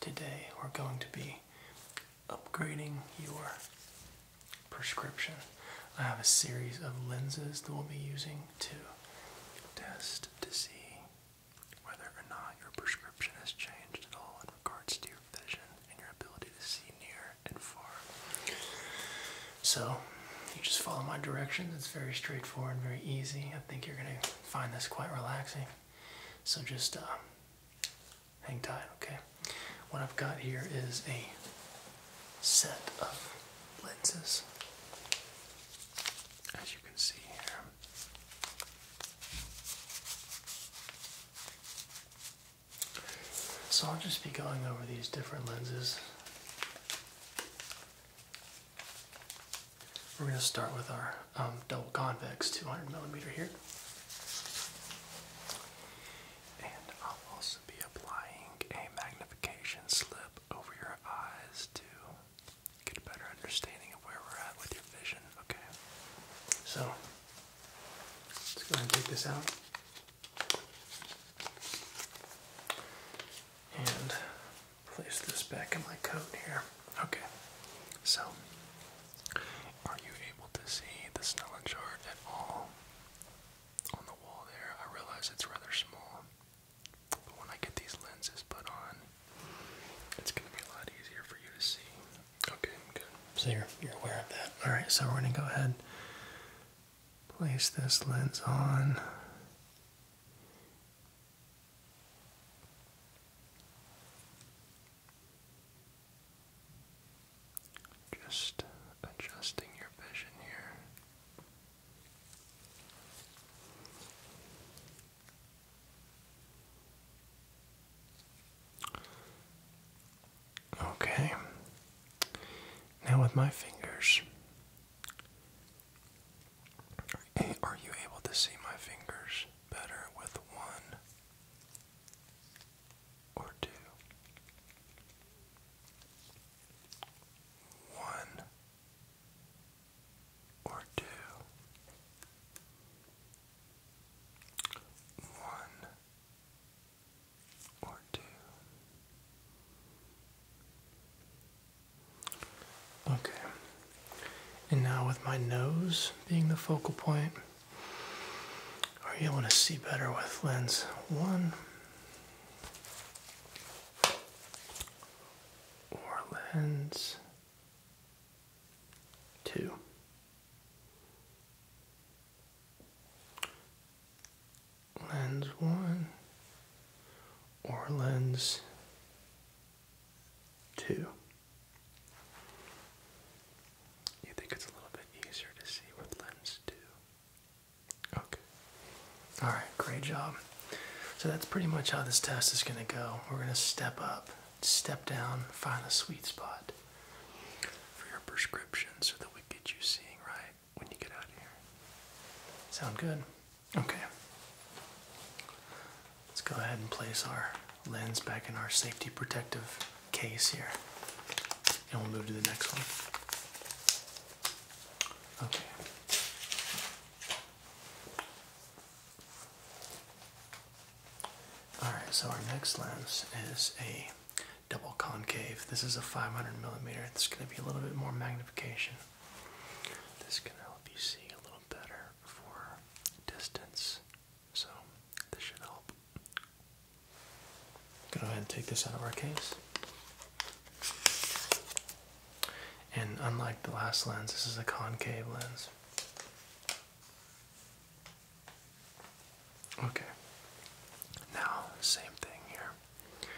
Today we're going to be upgrading your prescription. I have a series of lenses that we'll be using to test to see whether or not your prescription has changed at all in regards to your vision and your ability to see near and far. So you just follow my directions. It's very straightforward, very easy. I think you're gonna find this quite relaxing. So just uh, Hang tight, okay? What I've got here is a set of lenses. As you can see So I'll just be going over these different lenses. We're going to start with our um, double convex 200 millimeter here. And I'll also be applying a magnification slip over your eyes to get a better understanding of where we're at with your vision. Okay. So let's go ahead and take this out. And place this back in my coat here. Okay. So are you able to see the Snellen chart at all on the wall there? I realize it's rather small, but when I get these lenses put on, it's going to be a lot easier for you to see. Okay, good. So you're, you're aware of that. Alright, so we're going to go ahead place this lens on. Just adjusting your vision here. Okay. Now with my fingers. Are you able to see my fingers better with one or two, one or two, one or two. Okay, and now, with my nose being the focal point, are you able to see better with lens one or lens two? Lens one or lens Two. You think it's a little bit easier to see with lens two? Okay. Alright, great job. So that's pretty much how this test is going to go. We're going to step up, step down, find the sweet spot for your prescription so that we get you seeing right when you get out here. Sound good? Okay. Let's go ahead and place our lens back in our safety protective case here. And we'll move to the next one. Okay. Alright, so our next lens is a double concave. This is a 500 millimeter. It's going to be a little bit more magnification. This can help you see a little better for distance so this should help. Go ahead and take this out of our case. And unlike the last lens, this is a concave lens. Okay. Now, same thing here.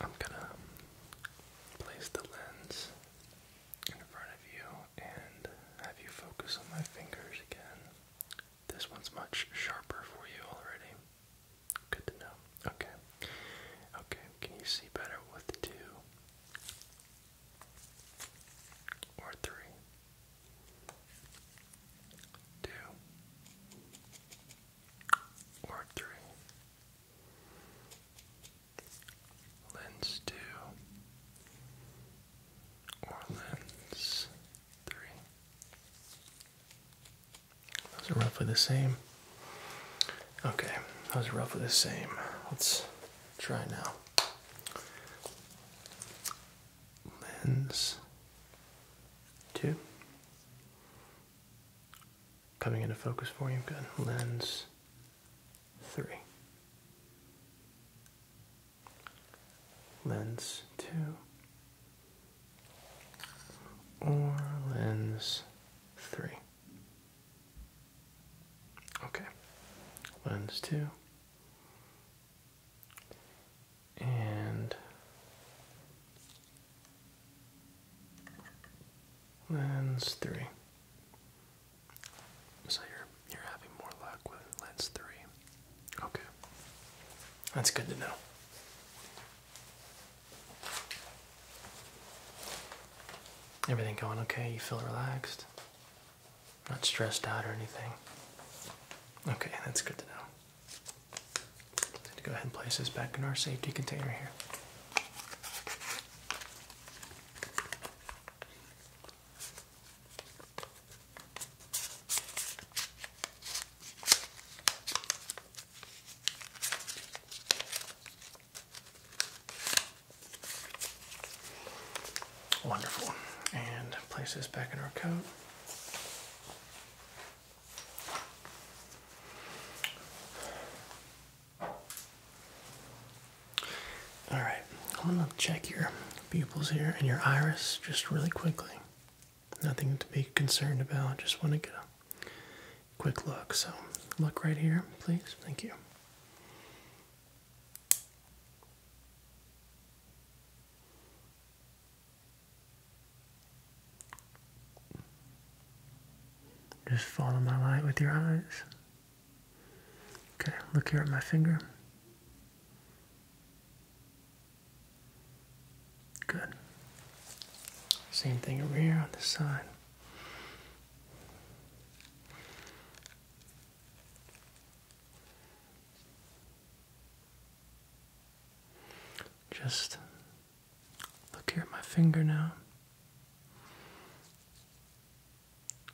I'm gonna place the lens in front of you and have you focus on my fingers again. This one's much sharper for you already. Good to know. Okay. Okay, can you see better with two or three? Two or three lens two or lens three. Those are roughly the same. Okay, those are roughly the same. Let's try now. Lens two. Coming into focus for you. Good. Lens three. Lens two or lens three. Okay, lens two. And lens three. So you're you're having more luck with lens three. Okay. That's good to know. Everything going okay? You feel relaxed? Not stressed out or anything? Okay, that's good to know. To go ahead and place this back in our safety container here. Wonderful. And place this back in our coat. All right, I'm gonna check your pupils here and your iris just really quickly. Nothing to be concerned about. Just want to get a quick look. So look right here, please. Thank you. Just follow my light with your eyes. Okay, look here at my finger. Good. Same thing over here on the side. Just look here at my finger now.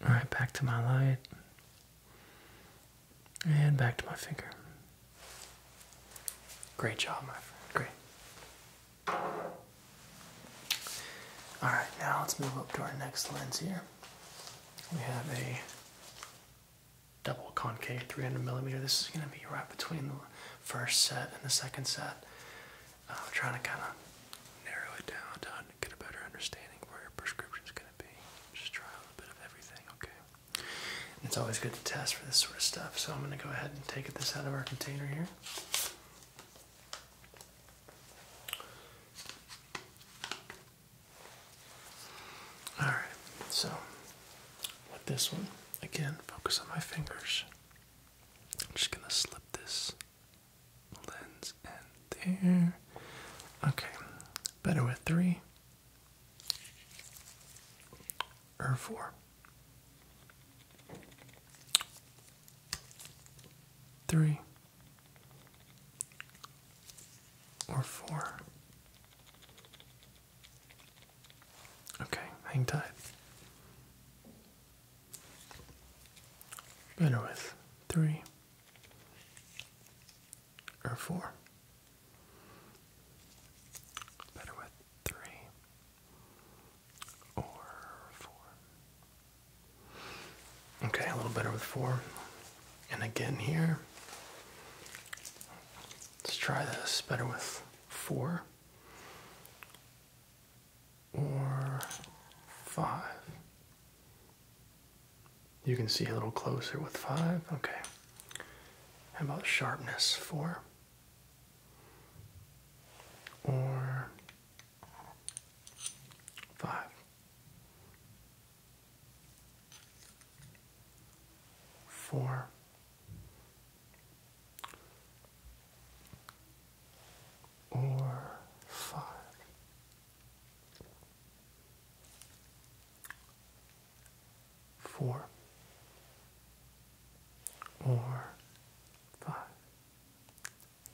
Alright, back to my light. And back to my finger. Great job, my friend. Great. Alright, now let's move up to our next lens here. We have a double concave 300 millimeter. This is going to be right between the first set and the second set. I'm uh, trying to kind of narrow it down get a better understanding where your prescription's gonna be. Just try a little bit of everything, okay? It's always good to test for this sort of stuff, so I'm gonna go ahead and take this out of our container here. Alright, so with this one, again, focus on my fingers. I'm just gonna slip this lens in there. Okay, better with three or four. Three or four. Okay, hang tight. Better with three or four. Better with three or four. Okay, a little better with four. And again here. Let's try this better with four or five. You can see a little closer with five. Okay. How about sharpness? Four. Or five. Four. Or five four or five.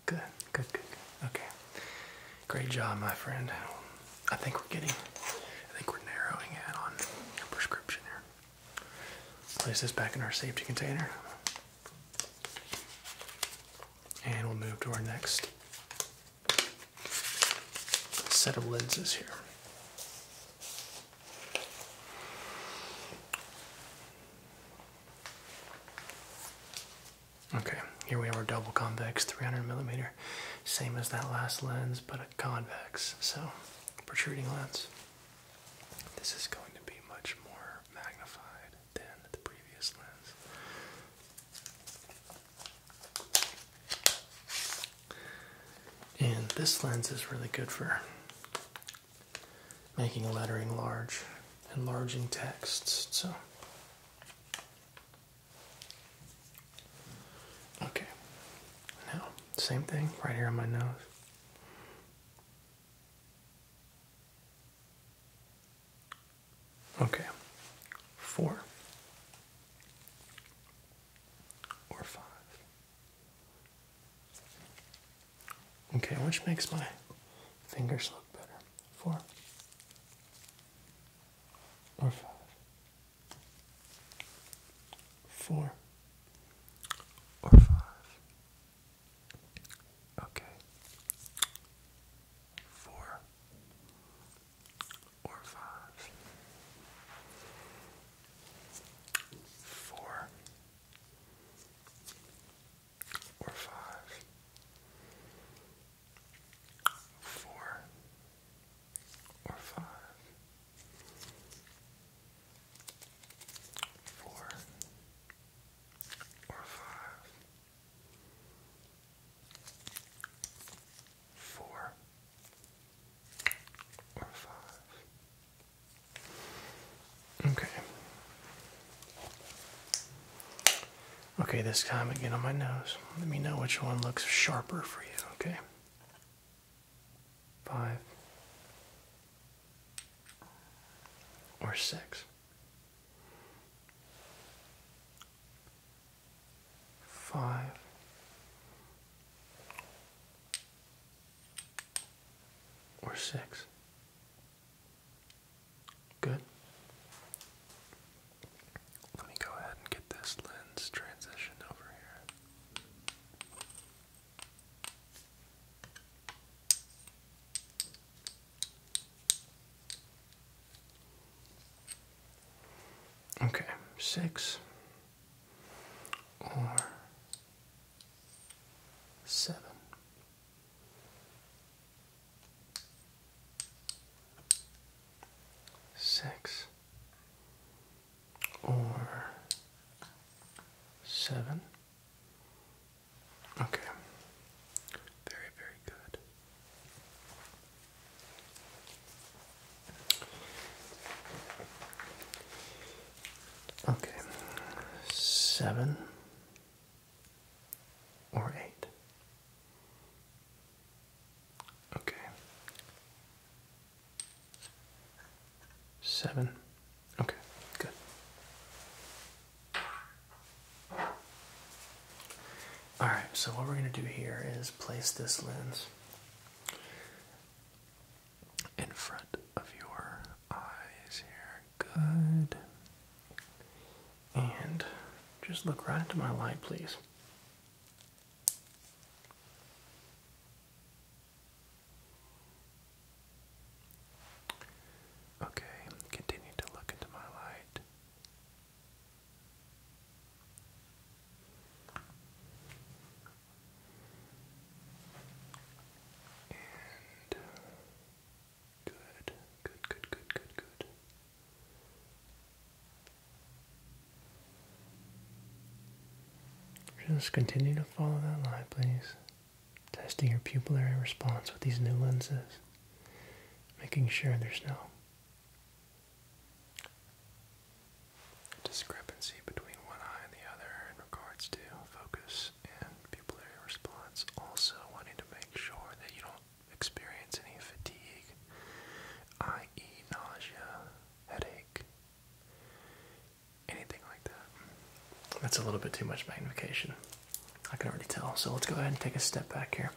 Good, good, good, good. Okay. Great job, my friend. I think we're getting, I think we're narrowing in on your prescription here. Place this back in our safety container. And we'll move to our next set of lenses here. Okay, here we have our double convex 300 millimeter, same as that last lens, but a convex, so protruding lens. This is going to be much more magnified than the previous lens. And this lens is really good for making lettering large, enlarging texts. So, okay, now same thing right here on my nose. Okay, four or five. Okay, which makes my fingers look better? Four or five? Four or five? Okay. Four or five. Four or five. Four or five. Four or five four or five. Okay. Okay, this time again on my nose. Let me know which one looks sharper for you, okay? Five or six five, or six. Good. Let me go ahead and get this lens transition over here. Okay, six or seven. Six or seven. Okay, very, very good. Okay, seven or eight. Okay, seven. Okay, good. Alright, so what we're going to do here is place this lens in front of your eyes here. Good. And just look right into my light, please. Okay, continue to look into my light good, good, good, good, good, good. Just continue to follow that line, please. Testing your pupillary response with these new lenses, making sure there's no discrepancy between one eye and the other in regards to focus and pupillary response. Also, wanting to make sure that you don't experience any fatigue, i.e., nausea, headache, anything like that. That's a little bit too much magnification. I can already tell. So let's go ahead and take a step back here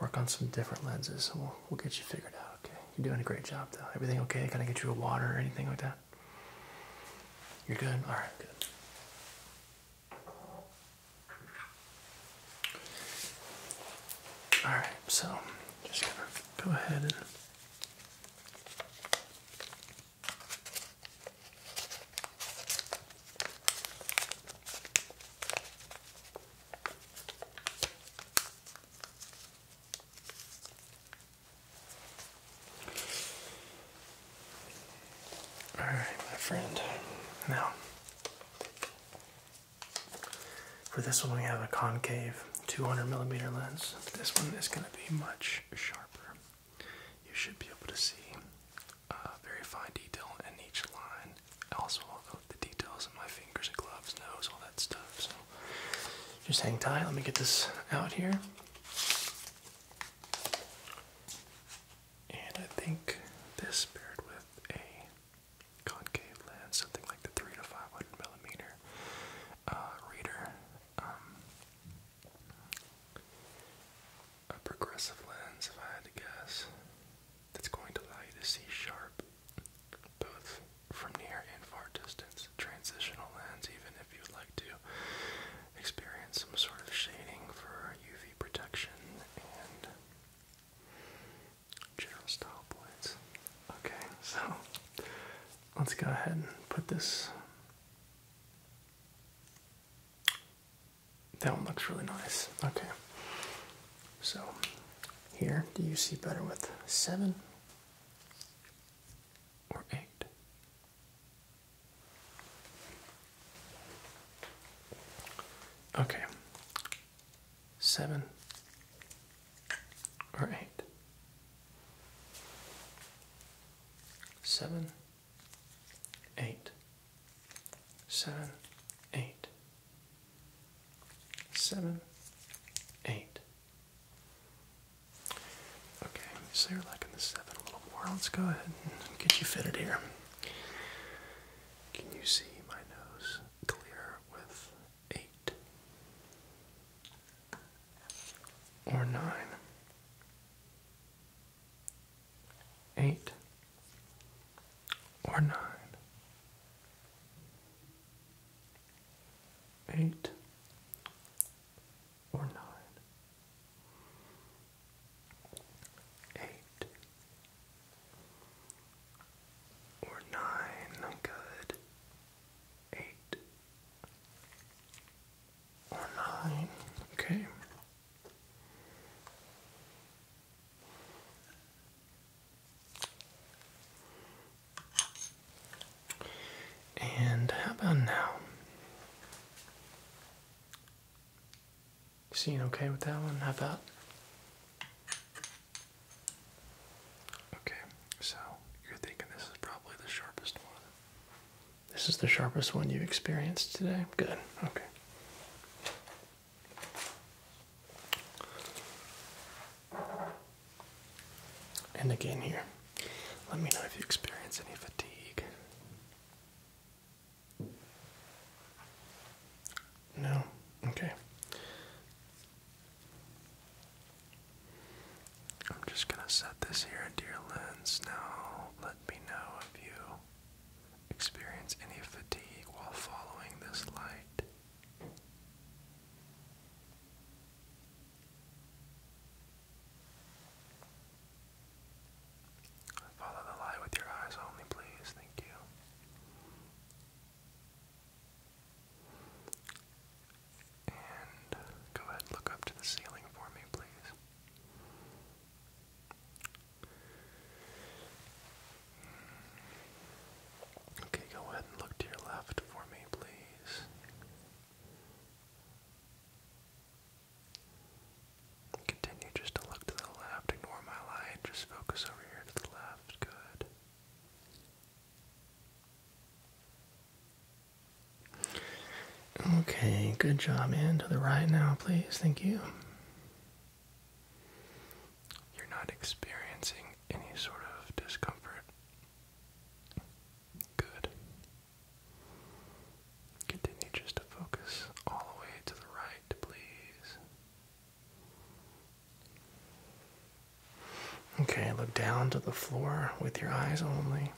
work on some different lenses we'll, get you figured out, okay? You're doing a great job, though. Everything okay? Can I get you a water or anything like that? You're good? All right, good. All right, so just gonna go ahead and all right, my friend. Now, for this one, we have a concave 200 millimeter lens. This one is going to be much sharper. You should be able to see uh, very fine detail in each line also I'll go the details of my fingers and gloves, nose, all that stuff. So just hang tight. Let me get this out here. And I think this paired with a concave lens, something like the three to five hundred millimeter uh, reader, um, a progressive lens, if I had to guess, that's going to allow you to see sharp, both from near and far distance, transitional lands, even if you'd like to experience some sort of shading for UV protection and general style points. Okay, so let's go ahead and put this that one looks really nice. Okay. So here, do you see better with seven or eight? Okay. Seven or eight? Seven, eight seven, eight, seven, eight. Okay, you're liking the seven a little more. Let's go ahead and get you fitted here. Can you see my nose clear with eight or nine? Eight or nine, eight or nine, eight or nine, good, eight or nine, okay. And how about now? Seeing okay with that one? How about? Okay, so you're thinking this is probably the sharpest one. This is the sharpest one you've experienced today? Good, okay. And again, here, let me know if you experience any fatigue. No? Okay. I'm just going to set this here into your lens. Now, let me know if you experience any fatigue while following this light. Follow the light with your eyes only, please. Thank you. And go ahead look up to the ceiling for me, please. Okay, go ahead and look to your left for me, please. Continue just to look to the left, ignore my light, just focus over here to the left. Good. Okay, good job. And to the right now, please. Thank you. You're not experiencing any sort of discomfort. Good. Continue just to focus all the way to the right, please. Okay, look down to the floor with your eyes only.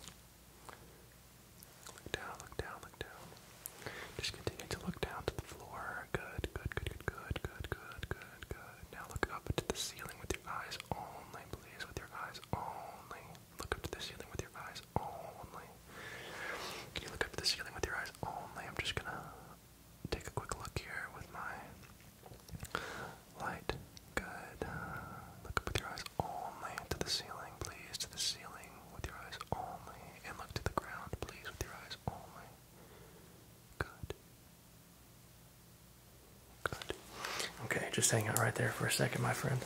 Look down, look down, look down. Just continue to look down to the floor. Good, good, good, good, good, good, good, good, good. Now look up to the ceiling with your eyes only, please. With your eyes only. Look up to the ceiling with your eyes only. you look up to the ceiling with your eyes only? I'm just gonna take a quick look here with my light. Good. Look up with your eyes only to the ceiling, please. To the ceiling with your eyes only. And look to the ground, please, with your eyes only. Good. Good. Okay, just hang out right there for a second, my friend.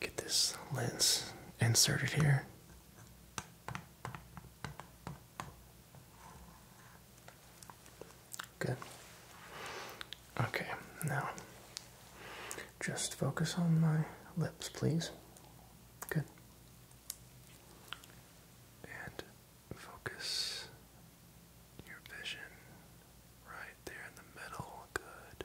Get this lens inserted here. Good. Okay, now just focus on my lips, please. Good. And focus your vision right there in the middle. Good.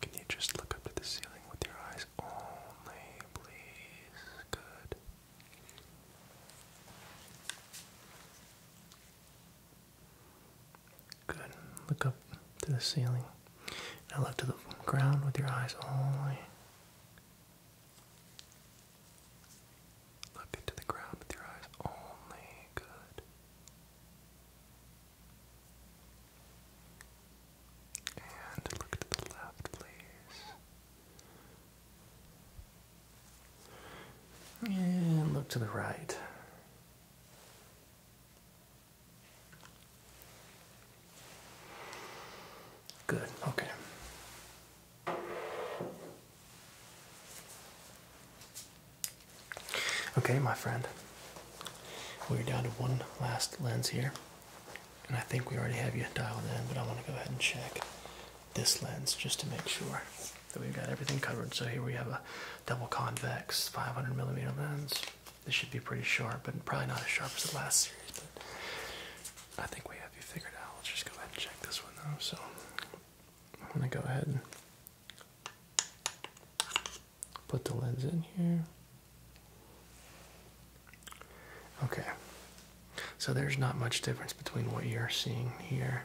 can you just look up to the ceiling with your eyes only, please? Good. Good. Look up to the ceiling. Now look to the ground with your eyes only. Look into the ground with your eyes only. Good. And look to the left, please. And look to the right. Good, okay. Okay, my friend, we're down to one last lens here. And I think we already have you dialed in, but I want to go ahead and check this lens just to make sure that we've got everything covered. So here we have a double convex 500 millimeter lens. This should be pretty sharp, but probably not as sharp as the last series. But I think we have you figured out. Let's just go ahead and check this one though. So I'm gonna go ahead and put the lens in here. Okay, so there's not much difference between what you're seeing here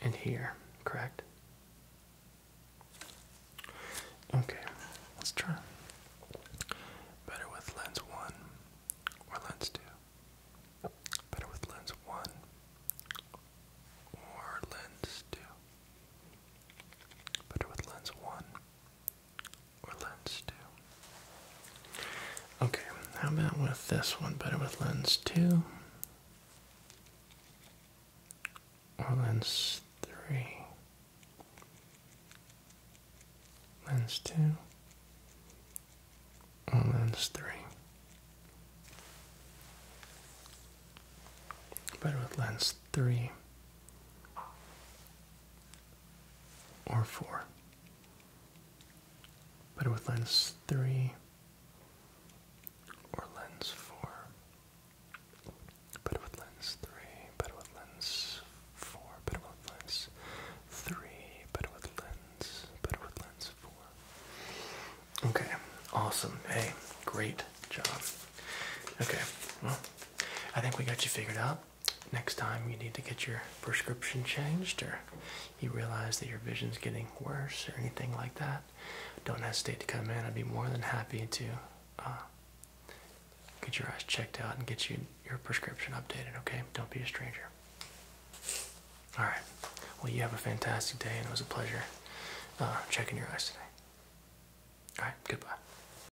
and here, correct? Okay, let's try. Better with lens 1 or lens 2? Better with lens 1 or lens 2? Better with lens 1 or lens 2. Okay, how about with this one? Better with lens 2 or lens 3? Lens 2 or lens 3? Better with lens 3 or 4. Better with lens 3 or lens 4. Better with lens 3, Better with lens 4, Better with lens 3, Better with lens, but with lens 4. Okay, awesome. Hey, great job. Okay, well, I think we got you figured out next time you need to get your prescription changed or you realize that your vision's getting worse or anything like that, don't hesitate to come in. I'd be more than happy to uh, get your eyes checked out and get you your prescription updated, okay? Don't be a stranger. All right. Well, you have a fantastic day, and it was a pleasure uh, checking your eyes today. All right. Goodbye.